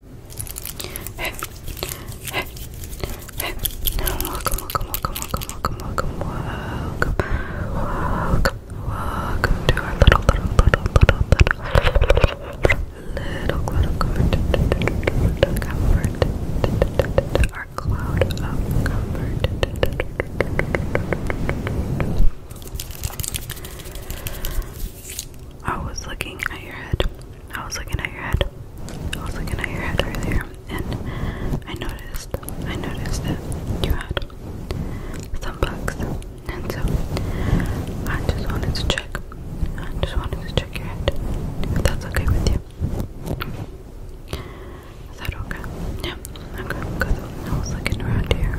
Hey, hey, hey, welcome, welcome, welcome, welcome, welcome, welcome, welcome, welcome, welcome to our little, little, little, little, little, little cloud of comfort, our cloud of comfort. I was looking at your head. I was looking at your head. I was looking at your head earlier, and I noticed. I noticed that you had some bugs, and so I just wanted to check. I just wanted to check your head. If that's okay with you. Is that okay? Yeah. Okay. Because I was looking around here.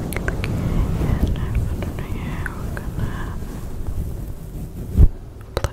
And I'm under here, we're gonna pluck. I'm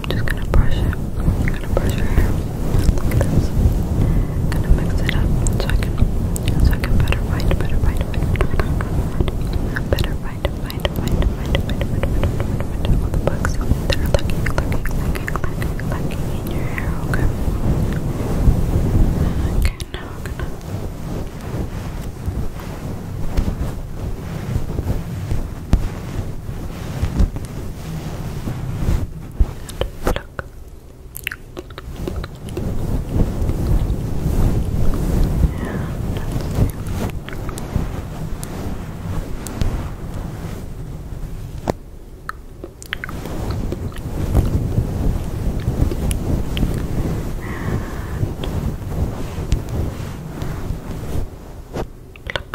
I'm just gonna brush it. I'm gonna brush your hair like this. gonna mix it up so I can so I can better find, better find, better find, find, find, find, find, all the bugs that are lurking, lurking, lurking, lurking in your hair. Okay. Okay. Now I'm gonna and pluck. And pluck.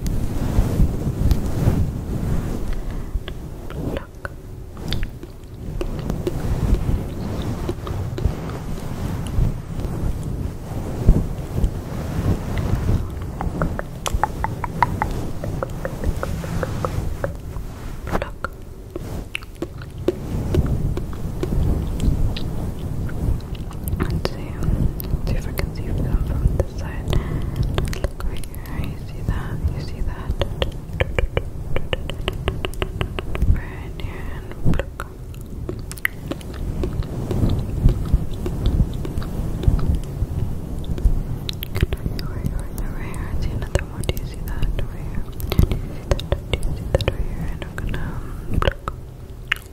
Look. Look. And see, see if I can see them from this side. look right here. You see that? You see that? Right here and pluck. Right here, I see another one. Do you see that? Right here. Do you see that? Do you see that right here? And I'm gonna pluck. Um,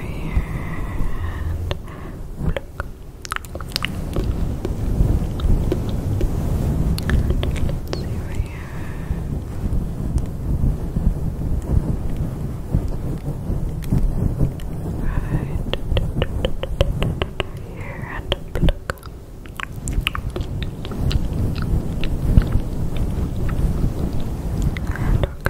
here and Look. And let see right here. Right. Here and pluck.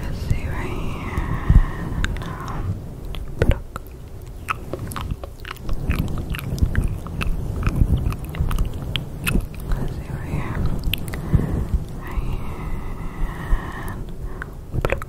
Let's see right here. Now. Let's see right here. Right here. Pluck.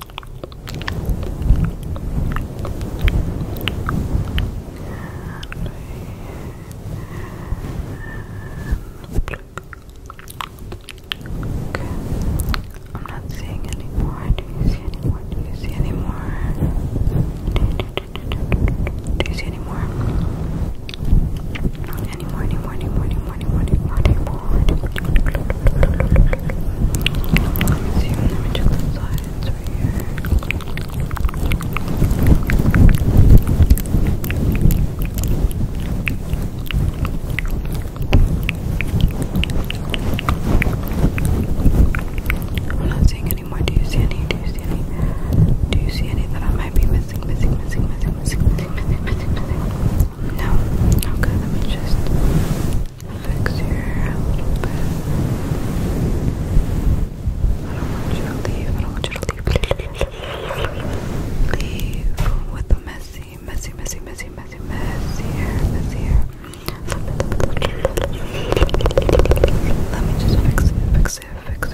I'm not seeing anymore. Do you see anymore? Do you see anymore? Do you see anymore? Anymore, anymore, anymore, anymore, anymore, anymore, anymore. Let me see. Let me check the side eyes I'm not seeing any more. Do you see any? Do you see any? Do you see any I might be Missing? Missing? Missing? Missing? Missing? missing? No. Okay. Let me just fix your a little bit. I don't want you to leave. I want you to leave. Leave with the messy, messy, messy, messy, messy, messy hair, messy hair. Let me just fix it, fix it, fix it, fix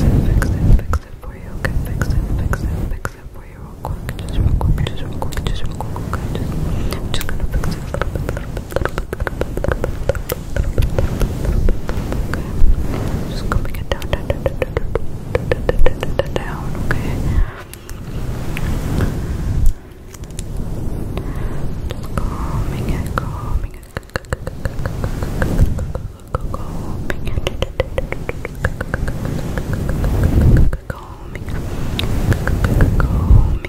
it, fix it, fix it for you. Okay, fix it, fix it, fix it for you real Just real quick, just real quick, just real quick. just, I'm just gonna fix it a little bit. Okay. Just combing it down, down, down, down, down, down, okay. Just combing it, combing it, combing it, combing it, combing it. Combing, combing,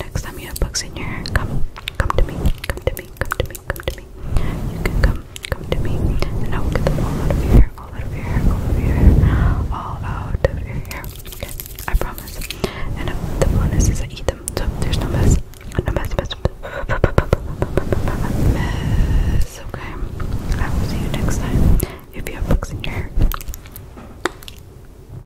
Next time you have bugs in your hair, come, come to me, come to me, come to me, come to me. You can come, come to me, and I will get them all out of your hair, all out of your hair, all out of your hair, all out of your hair. Okay, I promise. And uh, the bonus is I eat them, so there's no mess, no mess, mess, mess. Okay, I will see you next time. If you have bugs in your hair.